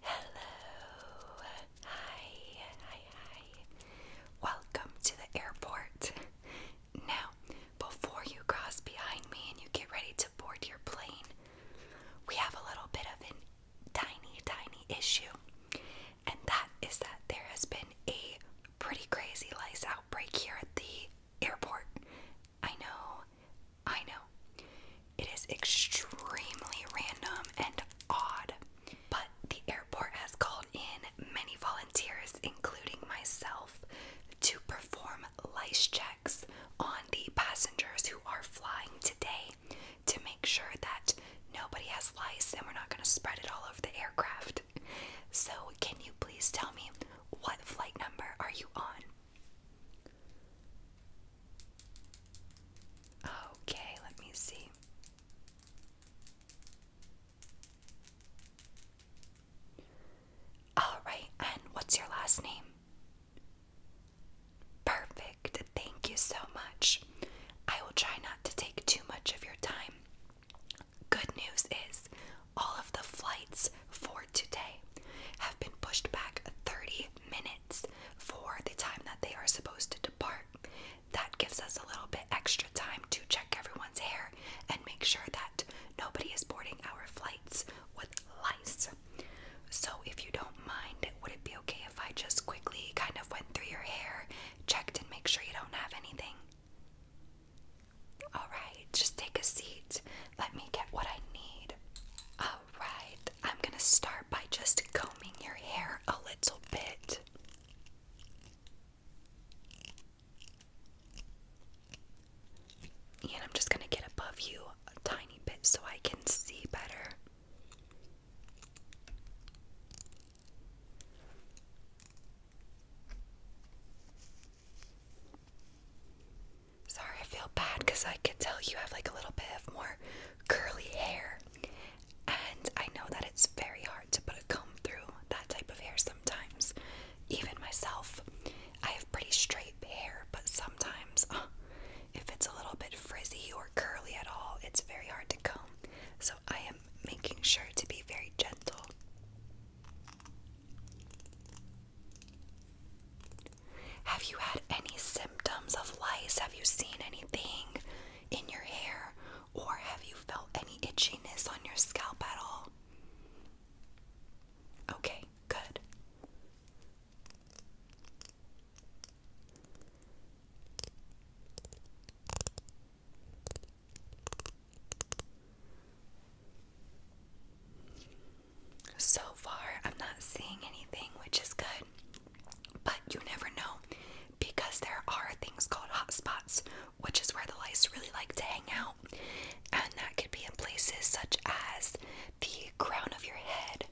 Hello. Hi. Hi. Hi. Welcome to the airport. Now, before you cross behind me and you get ready to board your plane, we have a little bit of a tiny, tiny issue. And that is that there has been a pretty crazy lice outbreak here at the airport. I know, I know. It is extremely random and odd, but the airport has called in many volunteers, including myself, to perform lice checks on the passengers who are flying today to make sure that nobody has lice and we're not going to spread it all over the aircraft. So, can you please tell me what flight number are you on? Okay, let me see. Alright, and what's your last name? Perfect, thank you so much. I will try not to take too much of your time. Good news is all of the flights for today have been pushed back 30 minutes for the time that they are supposed to depart. That gives us a little bit extra time to check everyone's hair and make sure that nobody is boarding our flights with lice. So, if you don't mind, would it be okay if I just quickly kind of went through your hair, checked, and make sure you don't have anything? All right, just take a seat. Let me get what I need. All right, I'm going to start by just combing your hair a little bit. And I'm just going to get above you a tiny bit so I can see better. Sorry, I feel bad because I can tell you have like a little bit of more curly hair. And I know that it's very hard to put a comb through that type of hair sometimes. Even myself, I have pretty straight hair, but sometimes uh, if it's a little bit frizzy or curly at all, it's very hard to comb. So I am making sure to be very gentle. Have you had any symptoms of lice? Have you seen anything in your hair? Or have you felt any itchiness on your scalp at all? Okay, good. So far, I'm not seeing anything, which is good, but you never know because there are things called hot spots, which is where the lice really like to hang out, and that could be in places such as the crown of your head,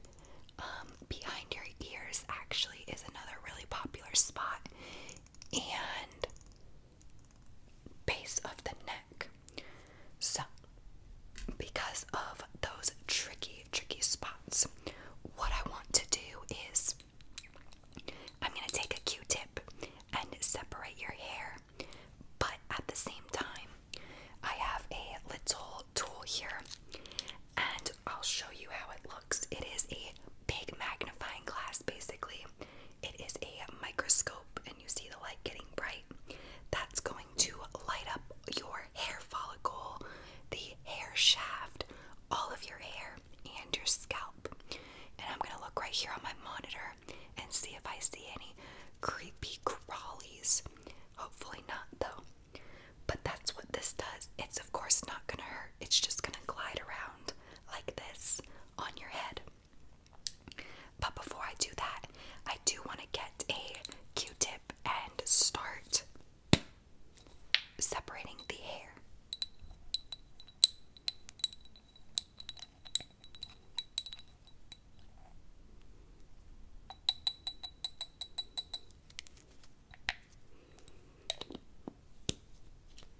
um, behind your ears, actually, is another really popular spot, and base of the neck. So, because of those tricky, tricky spots, what I want to do is I'm going to take a q tip and separate your hair, but at the same time, I have a little tool here and I'll show you how it looks. It is a big magnifying glass basically, it is a microscope and you see the light getting bright. That's going to light up your hair follicle, the hair shaft, all of your hair, and your scalp. And I'm going to look right here on my monitor and see if I see any creepy crawlies. Hopefully not, though. But that's what this does. It's, of course, not going to hurt, it's just going to glide around like this on your head. But before I do that, I do want to get a Q-tip and start separating the hair.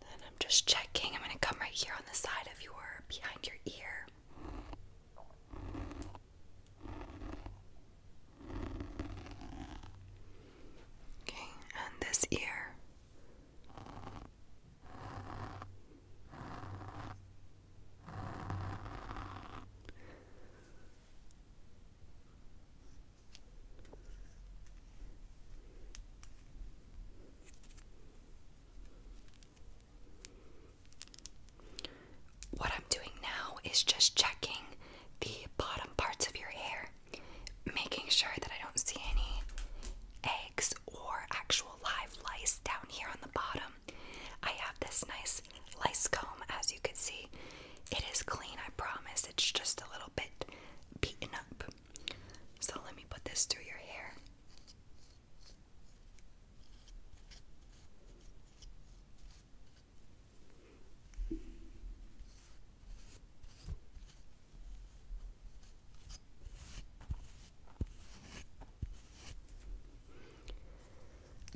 Then I'm just checking. I'm going to come right here on the side of your behind your ear. Okay, and this ear. What I'm doing now is just checking the bottom parts of your hair, making sure that I don't see any eggs or actual live lice down here on the bottom. I have this nice lice comb, as you can see, it is clean, I promise. It's just a little bit beaten up. So let me put this through your hair.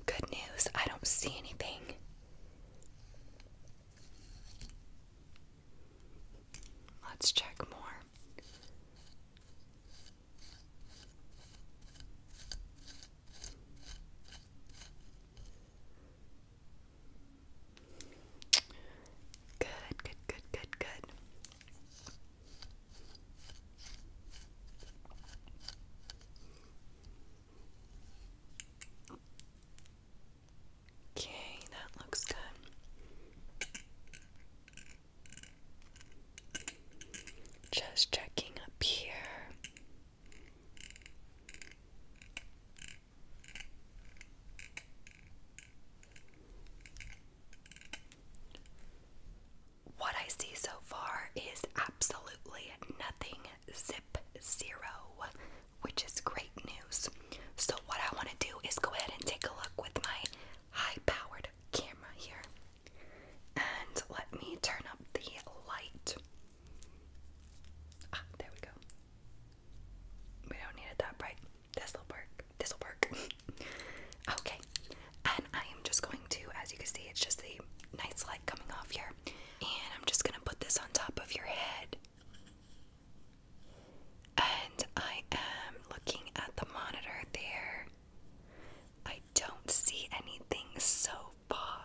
Good news, I don't see anything. Let's check more. Good, good, good, good, good. Okay, that looks good. Just checking up here. What I see so far is absolutely nothing zero, which is great news. So, what I want to do is go ahead and take a look with my high powered camera here. And let me turn up the light. Ah, there we go. We don't need it that bright. This'll work. This'll work. okay. And I am just going to, as you can see, it's just the a nice coming off here. And I'm just gonna put this on top of your head. And I am looking at the monitor there. I don't see anything so far.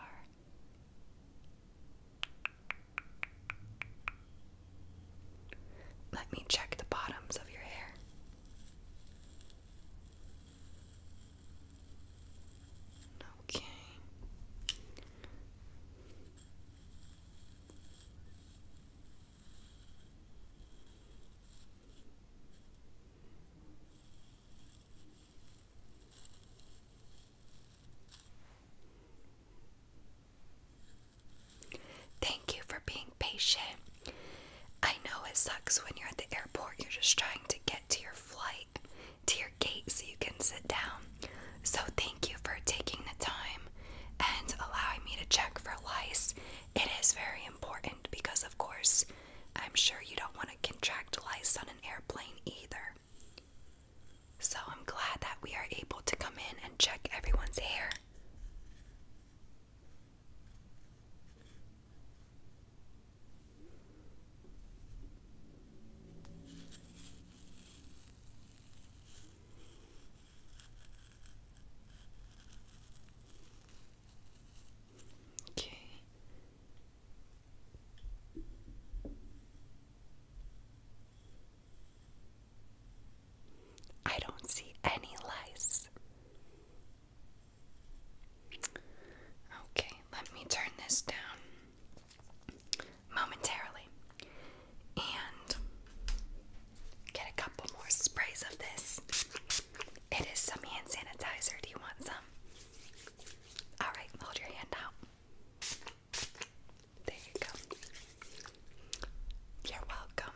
Let me check the bottoms of your hair. Okay. Thank you for being patient. I know it sucks when you're at the airport, you're just trying to get to your flight, to your gate, so you can sit down. So, thank you for taking the time and allowing me to check for lice. It is very important because, of course, I'm sure you don't want to contract lice on an airplane either. So, I'm glad that we are able to come in and check everyone's hair. Okay. I don't see any lice. Okay, let me turn this down momentarily and get a couple more sprays of this. It is some hand sanitizer. Do you want some? Alright, hold your hand out. There you go. You're welcome.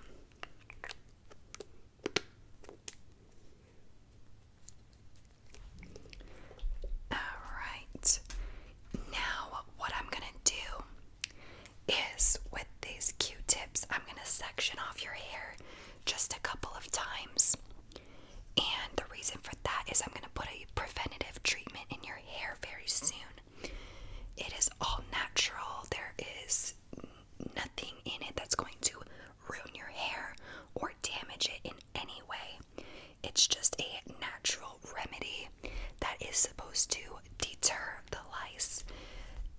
Alright, now what I'm gonna do is with these q tips, I'm gonna section off your hair just a couple of times. And the reason for that is I'm gonna put a preventative treatment in your hair very soon. It is all natural, there is nothing in it that's going to ruin your hair or damage it in any way. It's just a natural remedy that is supposed to deter the lice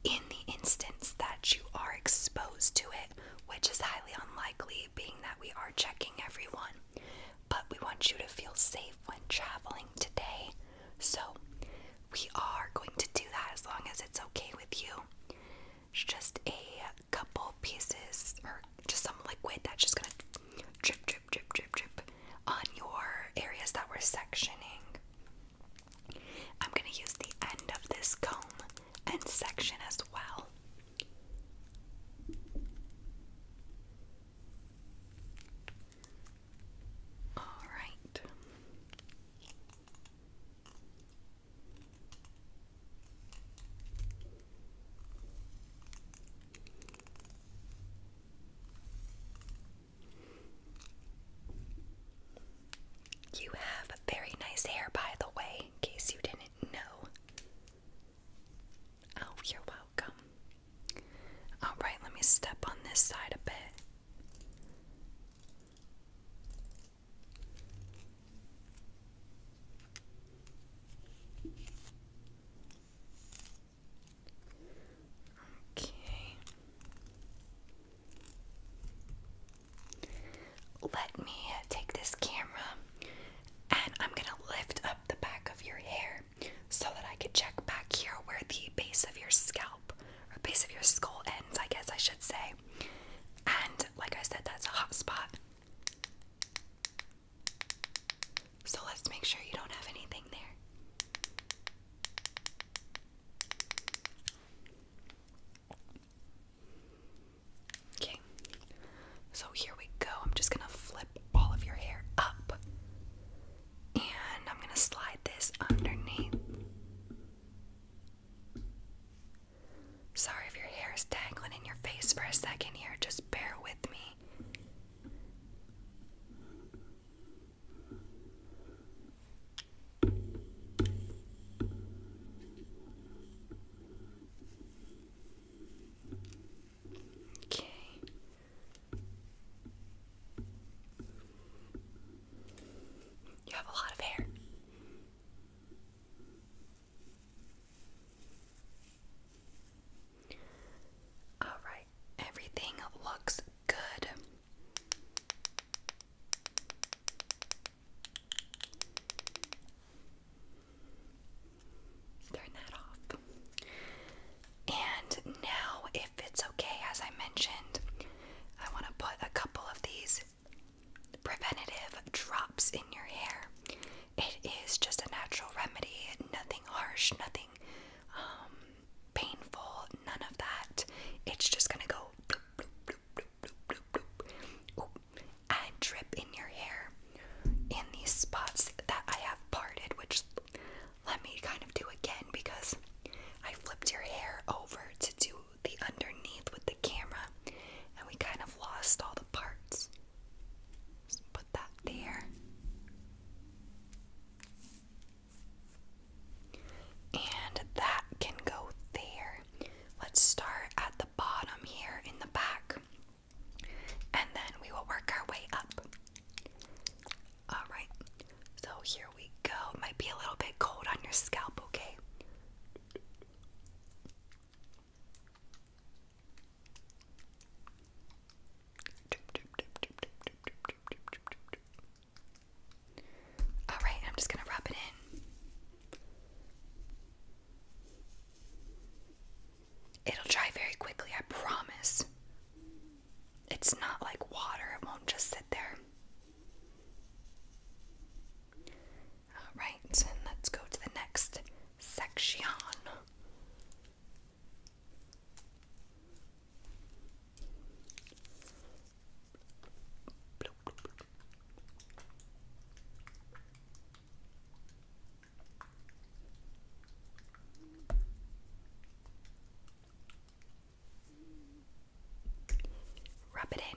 in the instance that you are exposed to it, which is highly unlikely, being that we are checking everyone. But we want you to feel safe when traveling today, so we are going to do that as long as it's okay with you. It's just a couple pieces or just some liquid that's just gonna drip, drip, drip, drip, drip on your areas that we're sectioning. I'm gonna use the end of this comb and section as well. All right. You have very nice hair, by the way, in case you didn't know. Oh, you're welcome. Alright, let me step on this side a bit. Okay. Let me take this camera and I'm going to lift up the back of your hair so that I can check back here where the base of your scalp or base of your skull ends, I guess I should say. And like I said, that's a hot spot. So let's make sure you don't have anything there. Okay, so here we go. I'm just gonna flip all of your hair up and I'm gonna slide this underneath. Sorry if your hair is dangling in your face for a second here, just bear with me. Okay. You have a lot of hair. Alright, everything looks good. Turn that off. And now, if it's okay, as I mentioned, I want to put a couple of these preventative drops in your hair. It is just a natural remedy, nothing harsh, nothing um, painful, none of that. It's just gonna go and drip in your hair in these spots that I have parted, which let me kind of do again because I flipped your hair over to do the underneath with the camera and we kind of lost all the parts. put that there. And that can go there. Let's start at the bottom here in the back. And then we will work our way up. Alright, so here we go. might be a little bit cold on your scalp, okay? All right, I'm just going to rub it in. It'll dry very quickly, I promise. It's not like water, it won't just sit there. Alright, let's go to the next section. Rub it in.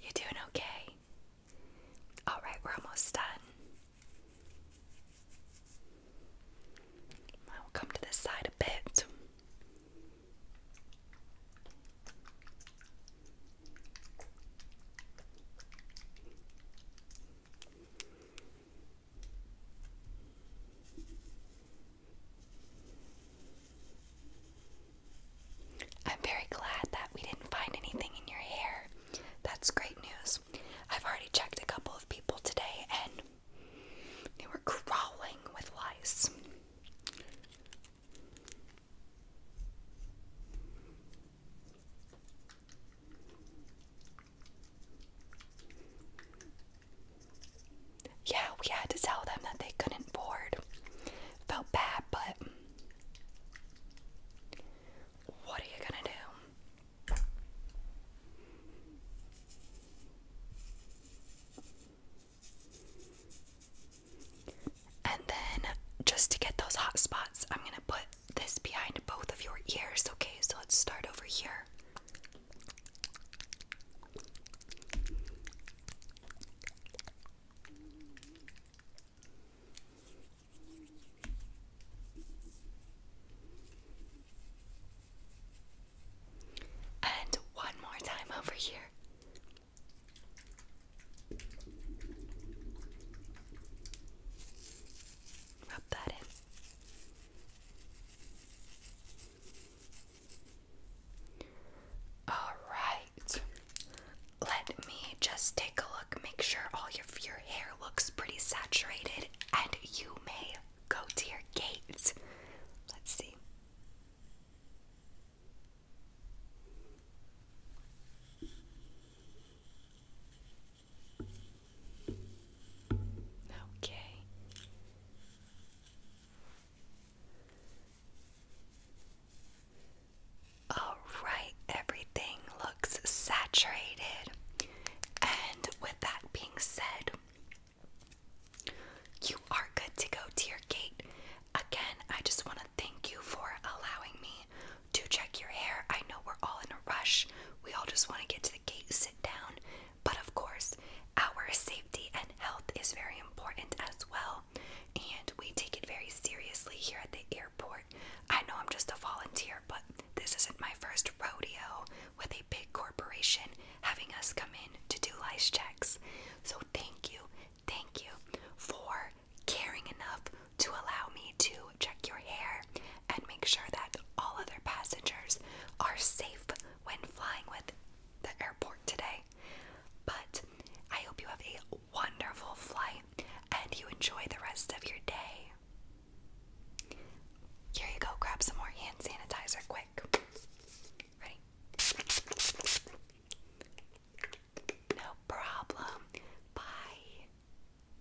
You doing okay? All right, we're almost done. I will come to this side a bit. I'm very glad that we didn't find anything in your hair. That's great news. I've already checked a couple of people today and they were crawling with lice. Yeah, we had to tell them that they couldn't board. Felt bad, but what are you gonna do? And then, just to get those hot spots, I'm gonna put this behind both of your ears, okay? So let's start over here. And one more time over here. Rub that in. All right. Let me just take a look, make sure all of your hair looks pretty saturated, and you may go to your gate. Let's see. Okay. All right, everything looks saturated. And with that being said, you are good to go to your gate. Again, I just want to thank you for allowing me do check your hair. I know we're all in a rush. We all just want to get to the gate, sit down. But of course, our safety and health is very important as well. And we take it very seriously here at the airport. I know I'm just a volunteer, but this isn't my first rodeo with a big corporation having us come in to do lice checks. So thank you, thank you for caring enough to allow me to check your hair and make sure that all other passengers are safe when flying with the airport today. But I hope you have a wonderful flight and you enjoy the rest of your day. Here you go, grab some more hand sanitizer quick. Ready? No problem. Bye.